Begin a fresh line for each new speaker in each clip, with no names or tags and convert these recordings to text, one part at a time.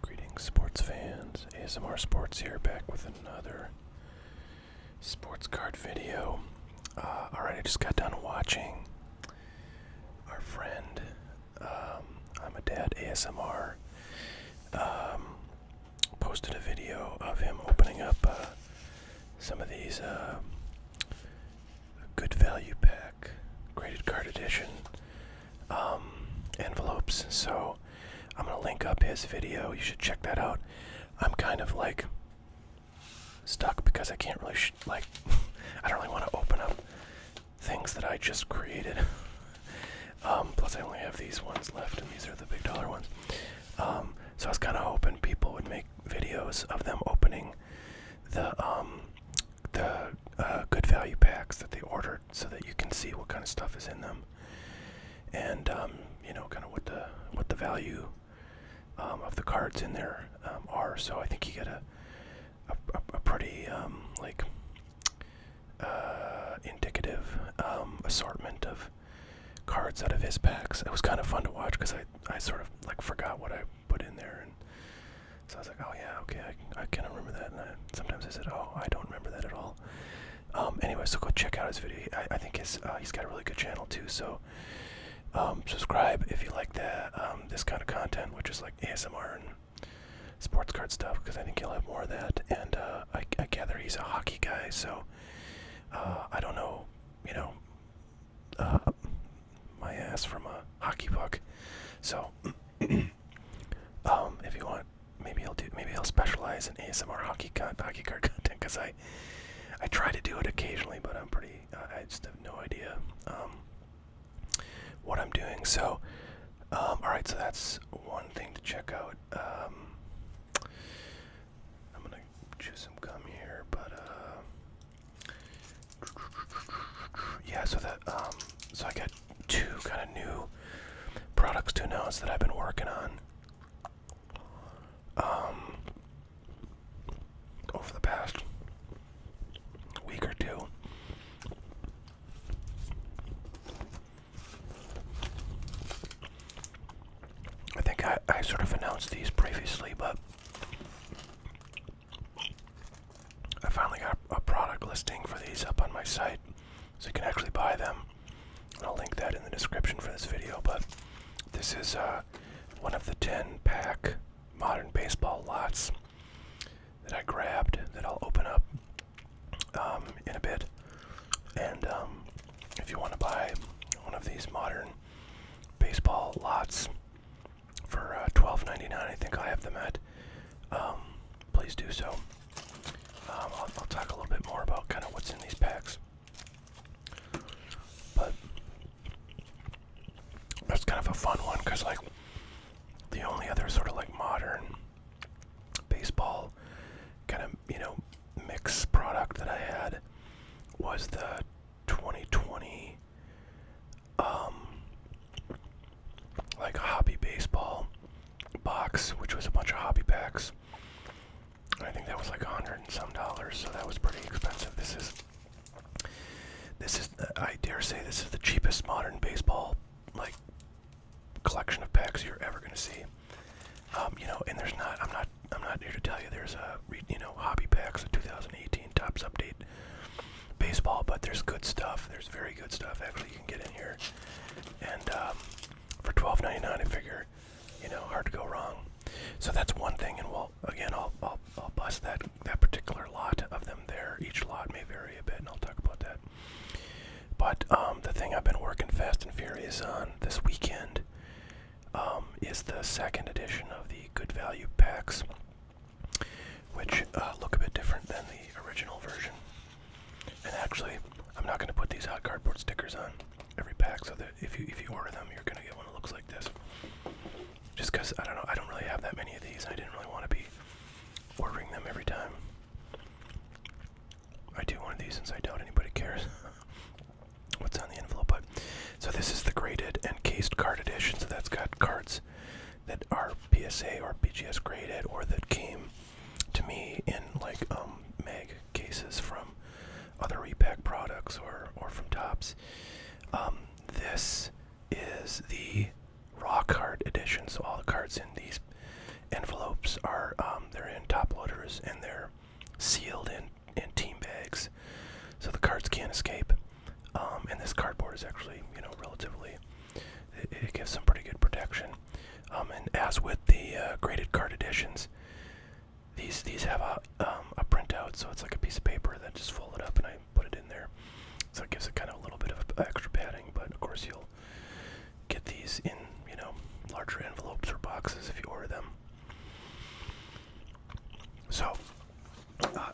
Greetings, sports fans. ASMR Sports here, back with another sports card video. Uh, Alright, I just got done watching our friend, um, I'm a Dad ASMR, um, posted a video of him opening up uh, some of these uh, Good Value Pack Graded Card Edition um, envelopes. So I'm gonna link up his video. You should check that out. I'm kind of like stuck because I can't really like I don't really want to open up things that I just created. Um, plus I only have these ones left, and these are the big dollar ones. Um, so I was kind of hoping people would make videos of them opening the the uh, good value packs that they ordered so that you can see what kind of stuff is in them and um, you know kind of what the what the value um, of the cards in there um, are so I think you get a a, pretty like uh, indicative assortment of cards out of his packs. It was kind of fun to watch because I I sort of like forgot what I put in there and so I was like, oh yeah, okay, I, can kind remember that. sometimes I said, oh, I don't remember that at all. Um, anyway, so go check out his video. I, think his, uh, he's got a really good channel too. So um, subscribe if you like that um, this kind of content, which is like ASMR and sports card stuff, because I think he will have more of that. And uh, I, gather he's a hockey guy, so uh, I don't know, you know, my ass from a hockey puck. So. um, if you want, maybe I'll do. Maybe I'll specialize in ASMR hockey cut, hockey card content because I, I try to do it occasionally, but I'm pretty. I just have no idea um, what I'm doing. So, um, all right. So that's one thing to check out. Um, I'm gonna chew some gum here, but uh, yeah, so that um, so I got two kind of new products to announce that I've been working on um over the past week or two. I think I, I sort of announced these previously, but I finally got a product listing for these up on my site, so you can actually buy them. I'll link that in the description for this video. But this is uh, one of the 10 pack modern baseball lots that I grabbed that I'll open up um, in a bit. And um, if you want to buy one of these modern baseball lots, for uh, $12.99. I think I have them at. Um, please do so. Um, I'll, I'll talk a little bit more about kind of what's in these packs. But that's kind of a fun one because, like, the only other sort of like modern baseball kind of, you know, mix product that I had was the 2020 um, like a hobby baseball box, which was a bunch of hobby packs. I think that was like a hundred and some dollars, so that was pretty expensive. This is, this is, I dare say, this is the cheapest modern baseball like collection of packs you're ever gonna see. Um, you know, and there's not, I'm not, I'm not here to tell you there's a, you know, hobby packs, a 2018 tops update baseball, but there's good stuff. There's very good stuff actually you can get in here. And um, for $12.99, I figure, you know, hard to go wrong. So that's one thing, and we again, I'll I'll, I'll bust that that particular lot of them there. Each lot may vary a bit, and I'll talk about that. But um, the thing I've been working fast and furious on this weekend um, is the second edition of the Good Value packs which uh, look a bit different than the original version. And actually, I'm not going to put these hot cardboard stickers on every pack, so that if you if you order them, you're going to get one that looks like this. Just because I don't know, I don't really have that many of these. and I didn't really want to be ordering them every time. I do one of these since I doubt anybody cares what's on the envelope. But so this is the graded and cased card edition. So that's got cards that are PSA or BGS graded or that came to me in like mag um, cases from other repack products or, or from Tops. Um, this is the raw card edition, so all the cards in these envelopes are um, they're in top loaders and they're sealed in in team bags, so the cards can't escape. Um, and this cardboard is actually, you know, relatively, it, gives some pretty good protection. Um, and as with the uh, graded card editions, these these have a um, a printout, so it's like a piece of paper that just fold it up, and I put it in there, so it gives it kind of a little bit of extra padding. But of course, you'll get these in you know larger envelopes or boxes if you order them. So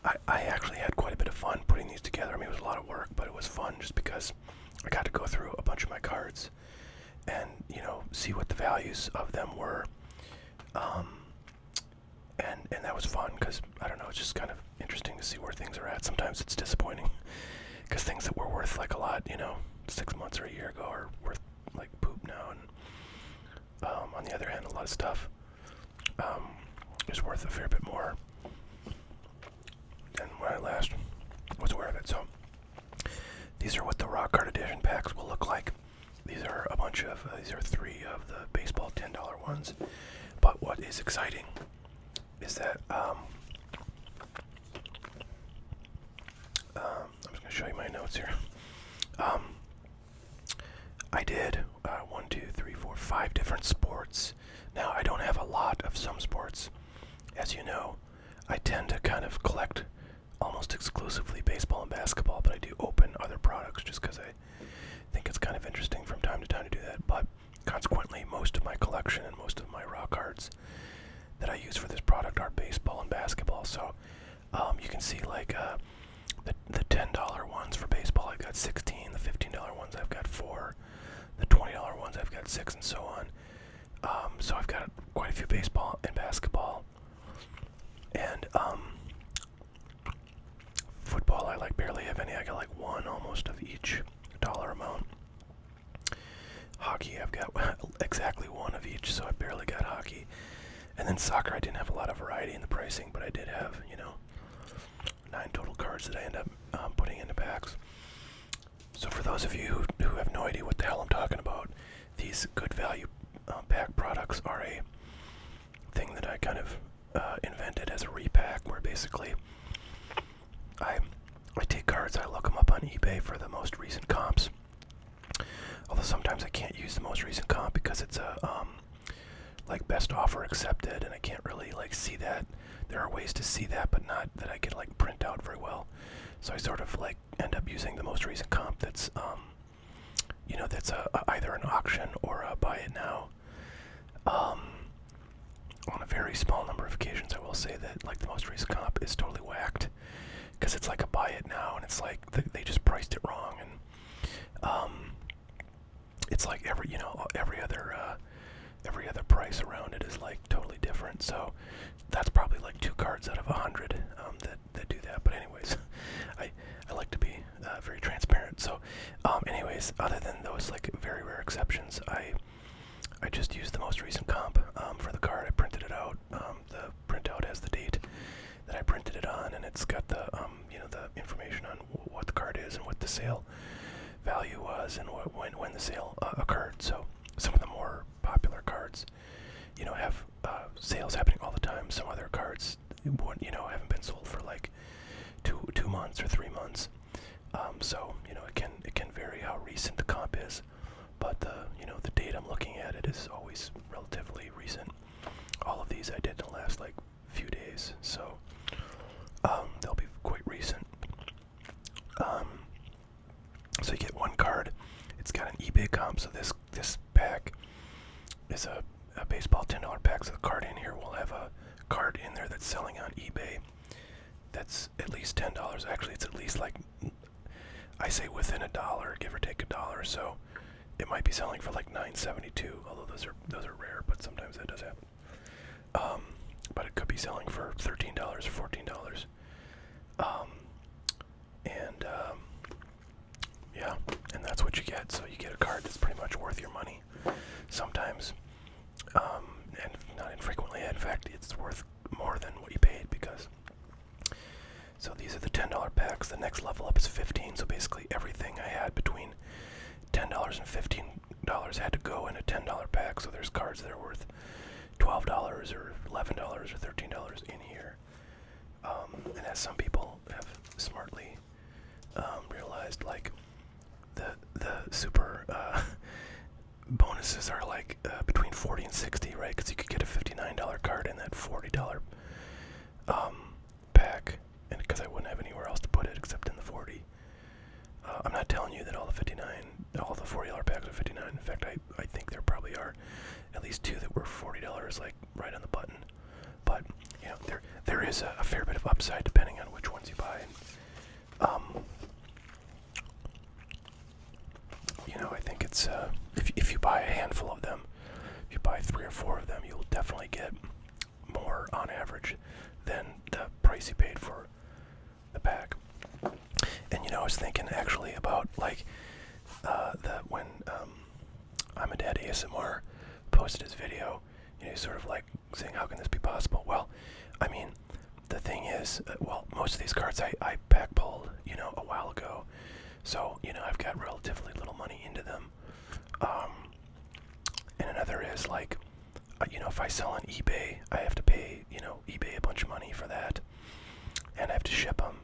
I, I actually had quite a bit of fun putting these together. I mean, it was a lot of work, but it was fun just because I got to go through a bunch of my cards and, you know, see what the values of them were. Um, and, and that was fun because, I don't know, it's just kind of interesting to see where things are at. Sometimes it's disappointing because things that were worth, like, a lot, you know, six months or a year ago are worth, like, poop now. And um, on the other hand, a lot of stuff um, is worth a fair bit more than when I last was aware of it. So these are what the rock Card edition packs will look like. These are a bunch of uh, these are three of the baseball ten dollar ones. But what is exciting is that um, um I'm just gonna show you my notes here. Um, I did uh, one, two, three, four, five different sports. Now, I don't have a lot of some sports. As you know, I tend to kind of collect almost exclusively baseball and basketball, but I do open other products just because I think it's kind of interesting from time to time to do that. But consequently, most of my collection and most of my raw cards that I use for this product are baseball and basketball. So um, you can see like uh, the the ten dollar ones for baseball. I've got sixteen. The fifteen dollar ones I've got four. The twenty dollar ones I've got six, and so on. Um, so I've got quite a few baseball and basketball, and um, football. I like barely have any. I got like one almost of each dollar amount. Hockey, I've got exactly one of each, so I barely got hockey. And then soccer, I didn't have a lot of variety in the pricing, but I did have, you know, nine total cards that I end up um, putting into packs. So for those of you who, have no idea what the hell I'm talking about, these good value uh, pack products are a thing that I kind of uh, invented as a repack, where basically I I take cards, I look them up on eBay for the most recent comps. Although sometimes I can't use the most recent comp because it's a um, like best offer accepted and I can't really like see that. There are ways to see that but not that I can like print out very well. So I sort of like end up using the most recent comp that's um you know that's a, either an auction or a buy it now. Um on a very small number of occasions I will say that like the most recent comp is totally whacked because it's like a buy it now and it's like they just priced it wrong and um, it's like every you know every other uh, every other price around it is like totally different. So that's probably like two cards out of a hundred um, that that do that. But anyways, I I like to be uh, very transparent. So um, anyways, other than those like very rare exceptions, I I just used the most recent comp for the card. I printed it out. Print out has the date that I printed it on, and it's got the um, you know the information on what the card is and what the sale value was and what when when the sale uh, occurred. So some of the more popular cards, you know, have uh, sales happening all the time. Some other cards, you know, haven't been sold for like two two months or three months. Um, so you know, it can it can vary how recent the comp is, but you know the date I'm looking at it is always relatively recent all of these I did in the last like few days, so um, they'll be quite recent. Um, so you get one card. It's got an eBay comp. So this this pack is a, baseball ten dollar pack. So the card in here will have a card in there that's selling on eBay. That's at least ten dollars. Actually, it's at least like I say within a dollar, give or take a dollar. So it might be selling for like 972, although those are those are rare, but sometimes that does happen. Um, but it could be selling for $13 or $14. Um, and um, yeah, and that's what you get. So you get a card that's pretty much worth your money. Sometimes, and not infrequently, in fact, it's worth more than what you paid because so these are the $10 packs. The next level up is 15, so basically everything I had between $10 and $15 had to go in a $10 pack. So there's cards that are worth $12 or $11 or $13 in here. Um, and as some people have smartly um, realized, like the the super uh, bonuses are like uh, between 40 and 60, right? Because you could get a $59 card in that $40 pack, um, and because I wouldn't have anywhere else to put it except in the 40. Uh, I'm not telling you that all the 59, all the 40 dollar packs are 59. In fact, I I think there probably are at least two that were 40 dollars, like right on the button. But you know, there there is a, fair bit of upside depending on which ones you buy. Um, you know, I think it's uh, if if you buy a handful of them, if you buy three or four of them, you'll definitely get more on average than the price you paid for the pack. And you know, I was thinking actually about like uh, that when um, I'm a Dad ASMR posted his video, you know, sort of like saying, How can this be possible? Well, I mean, the thing is, uh, well, most of these cards I, I back pulled, you know, a while ago. So, you know, I've got relatively little money into them. Um, and another is like, uh, you know, if I sell on eBay, I have to pay, you know, eBay a bunch of money for that. And I have to ship them.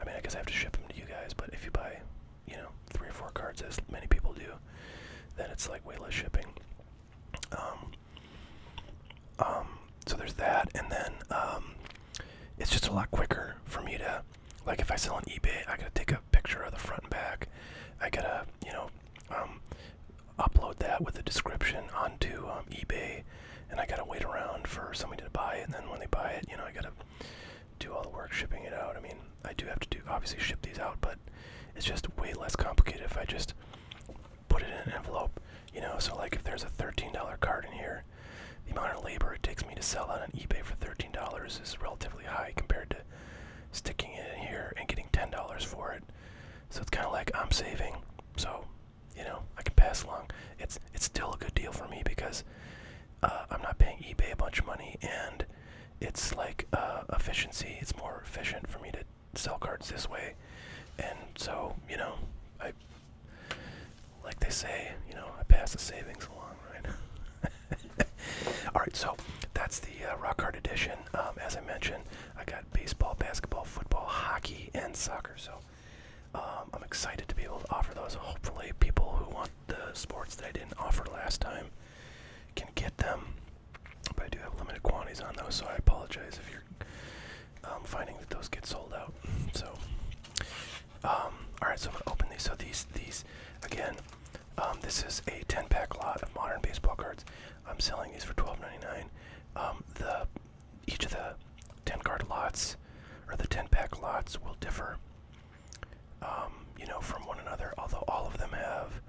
I mean, I guess I have to ship them to you guys, but if you buy, you know, three or four cards, as many people do, then it's like way less shipping. Um, um, so there's that, and then it's just a lot quicker for me to like if I sell on eBay, I gotta take a picture of the front and back. I gotta, you know, um, upload that with a description onto um, eBay, and I gotta wait around for somebody to buy it. And then when they buy it, you know, I gotta do all the work shipping it out. I mean, I do have to do obviously ship these out, but it's just way less complicated if I just put it in an envelope. You know, so like if there's a $13 card in here, the amount of labor it takes me to sell that on eBay for $13 is relatively high compared to sticking it in here and getting $10 for it. So it's kind of like I'm saving, so you know I can pass along. It's it's still a good deal for me because uh, I'm not paying eBay a bunch of money, and it's like uh, efficiency. It's more efficient for me to sell cards this way, and so you know I like they say, you know, I pass the savings along, right? All right, so that's the uh, Rock Hard edition. Um, as I mentioned, I got baseball, basketball, football, hockey, and soccer. So um, I'm excited to be able to offer those. Hopefully, people who want the sports that I didn't offer last time can get them. But I do have limited quantities on those, so I apologize if you're um, finding that those get sold out. So, um, all right, so I'm gonna open these. So these, these again, um, this is a 10-pack lot of modern baseball cards. I'm selling these for $12.99. the each of the 10-card lots or the 10-pack lots will differ, you know, from one another. Although all of them have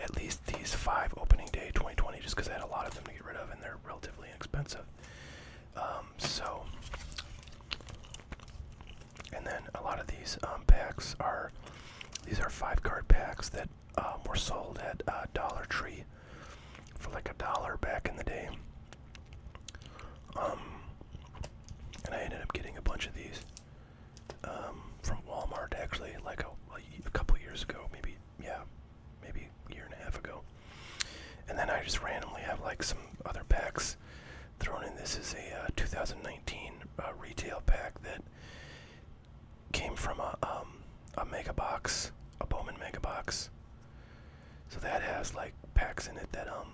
at least these five opening day 2020, just because I had a lot of them to get rid of, and they're relatively inexpensive. Um, so, and then a lot of these um, packs are these are five card packs that um, were sold at uh, Dollar Tree for like a dollar back in the day. and I ended up getting a bunch of these from Walmart actually, like a couple years ago, maybe yeah, maybe year and a half ago. And then I just randomly have like some other packs thrown in. This is a uh, 2019 uh, retail pack that came from a um, a mega box, a Bowman mega box. So that has like packs in it that um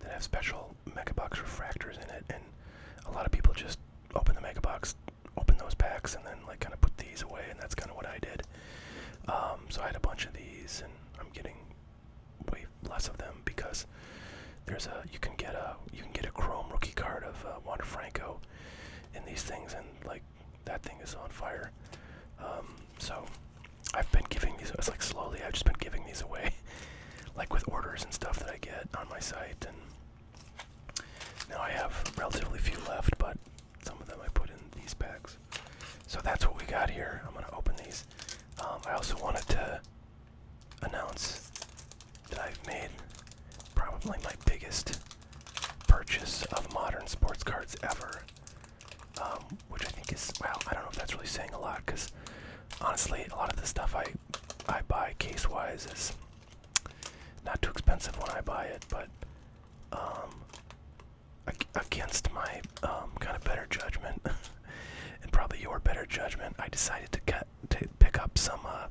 that have special mega box refractors in it, and a lot of people just open the mega box, open those packs, and then like kind of put these away, and that's kind of what I did. Um, so I had a bunch of these, and I'm getting way less of them because there's a you can get a you can get a Chrome rookie card of uh, Juan Franco in these things, and like that thing is on fire. Um, so I've been giving these. It's like slowly. I've just been giving these away, like with orders and stuff that I get on my site, and now I have relatively few left, but some of them I put in these bags, So that's what we got here. I'm gonna open these. Um, I also wanted to announce that I've made probably my biggest purchase of modern sports cards ever. Um, which I think is well, I don't know if that's really saying a lot because honestly, a lot of the stuff I I buy case wise is not too expensive when I buy it, but um, against my um, kind of better judgment and probably your better judgment, I decided to cut to pick up some uh,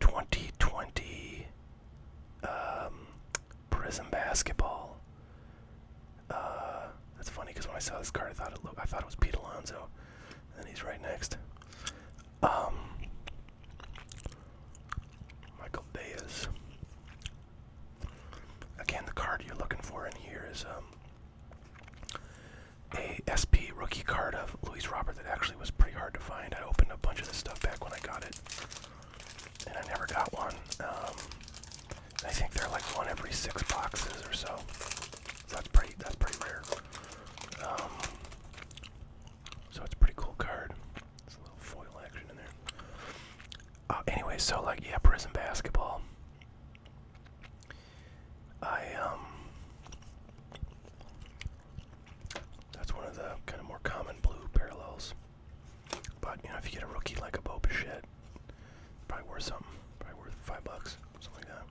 2020 um, prison Basketball. Uh, that's funny because when I saw this card, I thought it looked, I thought it was Pete Alonzo, and he's right next. Um, Michael Bayes. Again, the card you're looking for in here is um, a SP rookie card of Louis Robert that actually was pretty hard to find. I opened a bunch of this stuff back when I got it, and I never got one. Um, I think they're like one every six boxes or so. that's pretty. That's pretty rare. Um, so it's a pretty cool card. It's uh, anyway, so like yeah, prison basketball. I um, that's one of the kind of more common blue parallels. But you know, if you get a rookie like a Bo Bichette, probably worth something. Probably worth five bucks, something like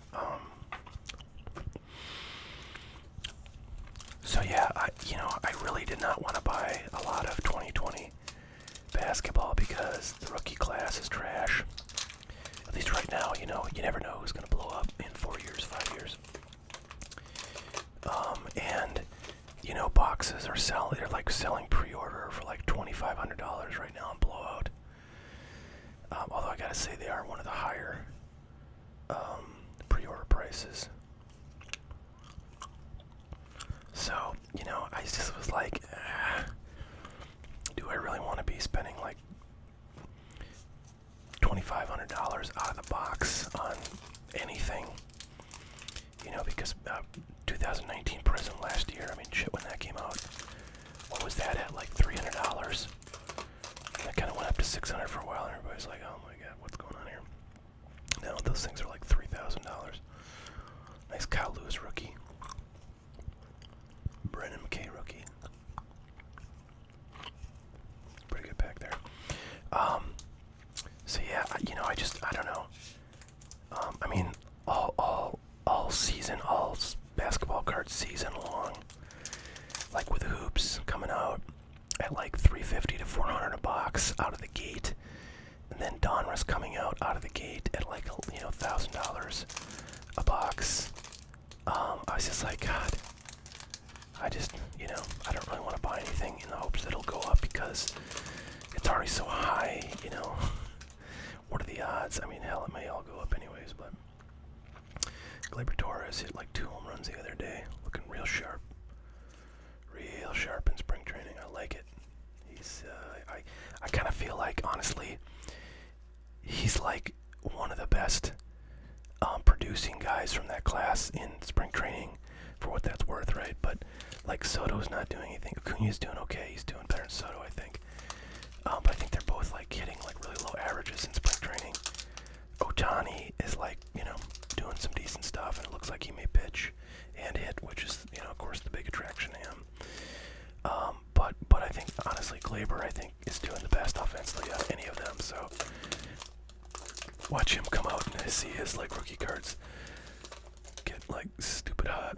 that. Um, so yeah, you know, I really did not want to buy a lot of 2020 basketball because the rookie class is trash. At least right now, you know, you never know who's going to blow up in four years, five years. Um, and you know, boxes are selling. They're like selling pre-order for like twenty-five hundred dollars right now in Blowout. Um, although I gotta say, they are one of the higher um, pre-order prices. So, you know, I just was like, ah, do I really want to be spending like $2,500 out of the box on anything? You know, because uh, 2019 prison last year, I mean, shit, when that came out, what was that at? Like $300? I kind of went up to 600 for a while, and everybody's like, "Oh my God, what's going on here?" Now those things are like three thousand dollars. Nice Kyle Lewis rookie, Brennan McKay rookie. Pretty good back there. Um, so yeah, you know, I just I don't know. Um, I mean, all all all season, all basketball cards season long, like with hoops coming out at like 350 to 400 a box out of the gate, and then Donruss coming out out of the gate at like you know thousand dollars a box. Um, I was just like, God, I just you know I don't really want to buy anything in the hopes that it'll go up because it's already so high. You know, what are the odds? I mean, hell, it may all go up anyways, but Gleyber Torres hit like two home runs the other day, looking real sharp. Real sharp in spring training. I like it. He's. Uh, I. I kind of feel like honestly, he's like one of the best um, producing guys from that class in spring training, for what that's worth, right? But like Soto's not doing anything. is doing okay. He's doing better than Soto, I think. Um, but I think they're both like hitting like really low averages in spring training. Otani is like, you know, doing some decent stuff, and it looks like he may pitch and hit, which is, you know, of course, the big attraction to him. Um, but but I think honestly, Glaber I think is doing the best offensively of any of them. So watch him come out and see his like rookie cards get like stupid hot.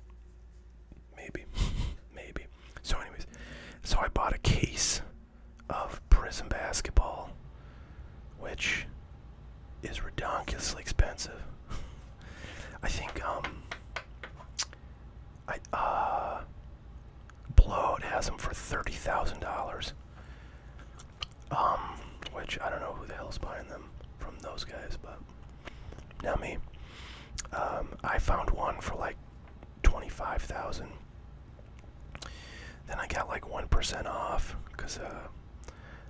Maybe, maybe. So anyways, so I bought a case of prison basketball, which is redonkulously expensive. I think um I uh Bloat has them for thirty thousand dollars. Um, which I don't know who the hell's buying them from those guys, but now me. Um, I found one for like twenty-five thousand. Then I got like 1% off because uh,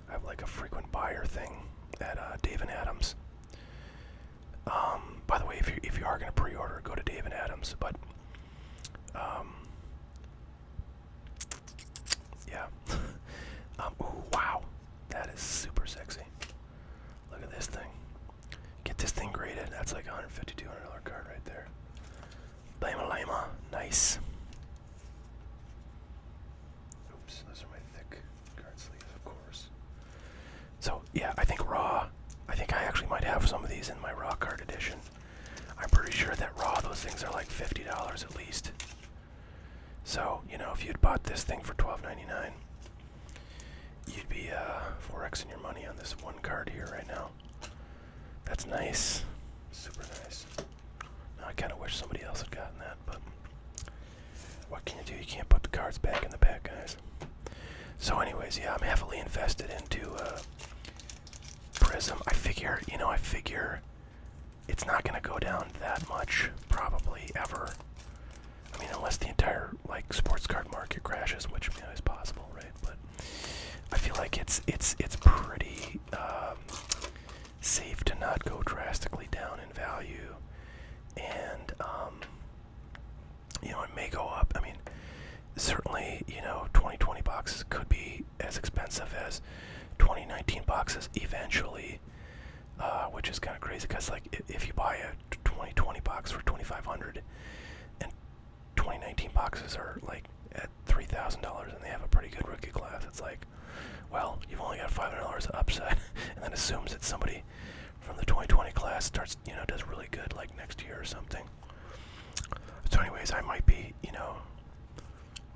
I have like a frequent buyer thing at uh, Dave and Adams. Um, by the way, if you if you are gonna pre-order, go to Dave and Adams. But um, yeah. um, wow, that is super sexy. Look at this thing. Get this thing graded. That's like a 150 dollars card right there. Blama Lima. Nice. Oops, those are my thick card sleeves, of course. So, yeah, I think Raw. I think I actually might have some of these in my Raw card edition. I'm pretty sure that Raw, those things are like $50 at least. So, you know, if you'd bought this thing for $12.99, you'd be uh, 4xing your money on this one card here right now. That's nice. Super nice. Now I kind of wish somebody else had gotten that, but what can you do? You can't put the cards back in the back, guys. So, anyways, yeah, I'm heavily invested into uh, Prism. I figure, you know, I figure it's not going to go down that much, probably ever. I mean, unless the entire like sports card market crashes, which you know, is possible, right? But I feel like it's it's it's pretty um, safe to not go drastically down in value, and um, you know it may go up. I mean, certainly you know 2020 boxes could be as expensive as 2019 boxes eventually, uh, which is kind of crazy because like if you buy a 2020 box for 2,500 and 2019 boxes are like at $3,000 and they have a pretty good rookie class. It's like, well, you've only got $500 upside, and then assumes that somebody from the 2020 class starts, you know, does really good like next year or something. So, anyways, I might be, you know,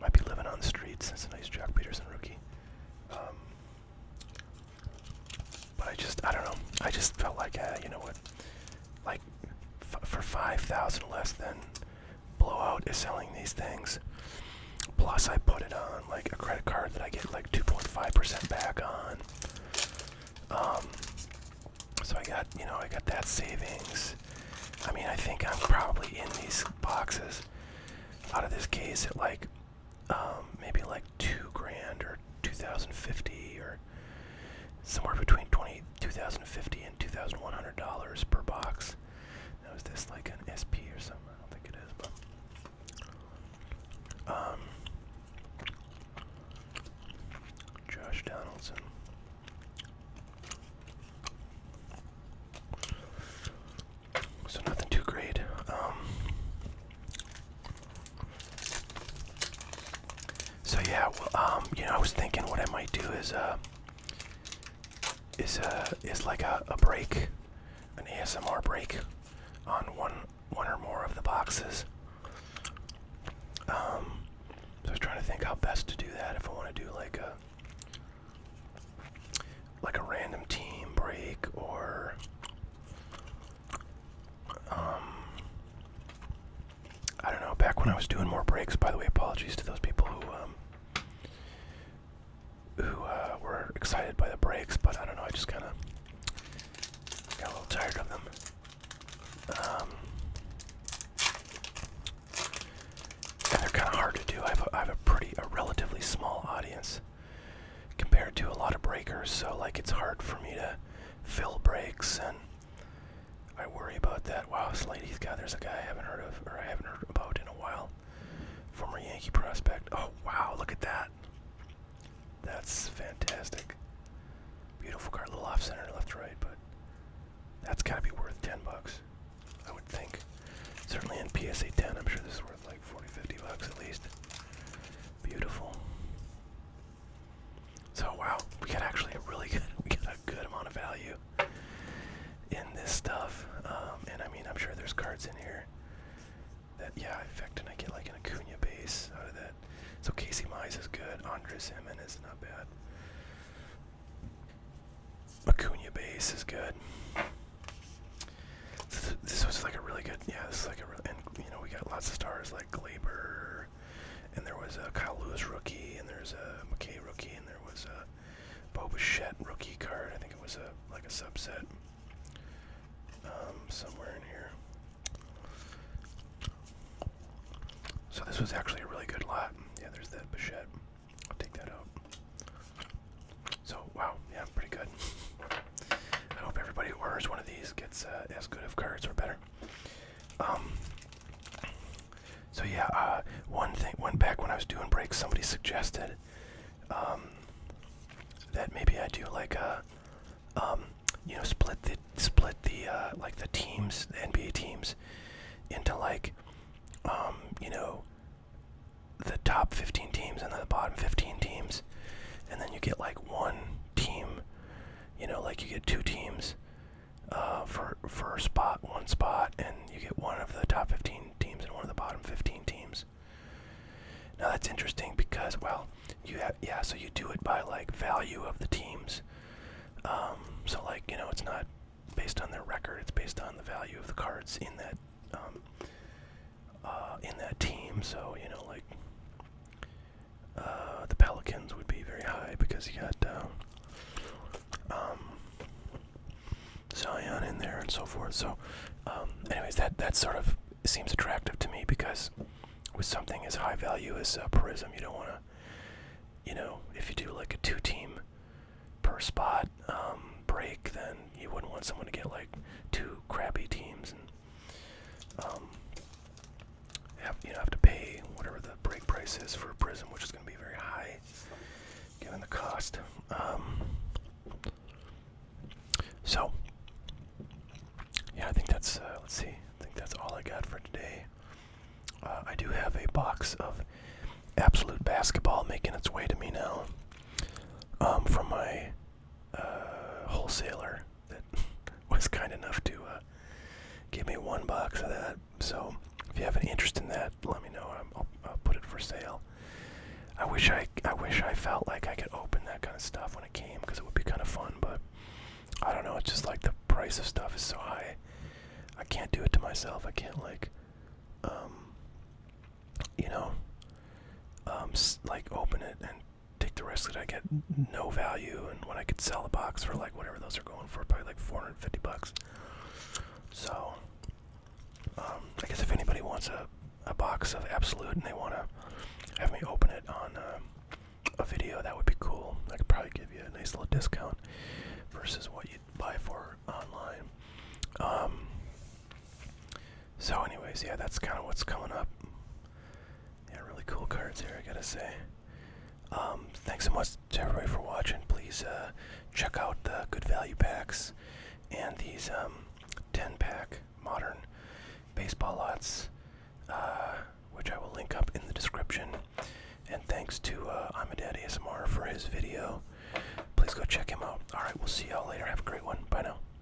might be living on the streets. That's a nice Jack Peterson rookie. Um, but I just, I don't know. I just felt like, uh, you know what? like f for 5000 less than Blowout is selling these things. Plus I put it on like a credit card that I get like 2.5% back on. Um so I got, you know, I got that savings. I mean, I think I'm probably in these boxes out of this case at like um, maybe like two grand or 2050 or somewhere between twenty two thousand fifty and two thousand one hundred dollars per box. Now is this like an SP or something? I don't think it is, but um, Josh Donaldson. So nothing too great. Um, so yeah, well, um, you know, I was thinking what I might do is uh, is uh, is like a, a break, an ASMR break, on one one or more of the boxes. Um, so I was trying to think how best to do that. If I want to do like a like a random team break or um, I don't know. Back when I was doing more breaks, by the way, apologies to those people who um, who uh, were excited by the breaks, but I don't know. I just kind of got a little tired of them. Um, they're kind of hard to do. I have, have a pretty, a relatively small audience compared to a lot of breakers, so like it's hard for me to fill breaks, and I worry about that. Wow, Sladey's guy. There's a guy I haven't heard of, or I haven't heard about in a while. Former Yankee prospect. Oh wow, look at that. That's fantastic. Beautiful card, a little off center, left, right, but that's gotta be worth 10 bucks, I would think. Certainly in PSA 10, I'm sure this is worth like forty fifty bucks at least. Beautiful. So wow, we got actually a really good, we got a good amount of value in this stuff. Um, and I mean, I'm sure there's cards in here that, yeah, effect and I get like an Acuna base out of that. So Casey Mize is good. Andres Jimenez is not bad. Acuna base is good. This was like a really good yeah, this is like a real, and you know we got lots of stars like Glaber, and there was a Kyle Lewis rookie, and there's a McKay rookie, and there was a Bo Bichette rookie card. I think it was a like a subset um, somewhere in here. So this was actually a really good lot. Yeah, there's that Bichette. I'll take that out. So wow, yeah, pretty good. I hope everybody who orders one of these gets uh, as good of cards or better. Um, so yeah, uh, one thing, one back when I was doing breaks, somebody suggested um, that maybe I do like a, uh, um, you know, split the split the like the teams, NBA teams, into like, you know, the top 15 teams and the bottom 15 teams, and then you get like one team you know, like you get two teams uh, for for a spot, one spot, and you get one of the top 15 teams and one of the bottom 15 teams. Now that's interesting because, well, you have yeah, so you do it by like value of the teams. Um, so like you know, it's not based on their record; it's based on the value of the cards in that um, uh, in that team. So you know, like uh, the Pelicans would be very high because you got uh, um, Zion in there and so forth. So, um, anyways, that that sort of seems attractive to me because with something as high value as uh, Prism, you don't want to, you know, if you do like a two-team per spot um, break, then you wouldn't want someone to get like two crappy teams and um, you know, have to pay whatever the break price is for a prism, which is going to be very high given the cost. Um, so, yeah, I think that's, uh, let's see, I think that's all I got for today. Uh, I do have a box of absolute basketball making its way to me now um, from my uh, wholesaler that was kind enough to uh, give me one box of that. So if you have an interest in that, let me know. I'll, put it for sale. I wish I I wish I felt like I could open that kind of stuff when it came because it would be kind of fun. But I don't know. It's just like the price of stuff is so high. I can't do it to myself. I can't like, um, you know, um, like open it and take the risk that I get no value, and when I could sell the box for like whatever those are going for, probably like 450 bucks. So, um, I guess if anybody wants a, a box of Absolute and they want to have me open it on uh, a video, that would be cool. I could probably give you a nice little discount versus what you'd buy for online. Um, so, anyways, yeah, that's kind of what's coming up. Yeah, really cool cards here, I gotta say. Um, thanks so much to everybody for watching. Please uh, check out the good value packs and these um, 10 pack modern baseball lots, uh, which I will link up in the description. And thanks to uh, I'm a Dad ASMR for his video. Please go check him out. Alright, we'll see y'all later. Have a great one. Bye now.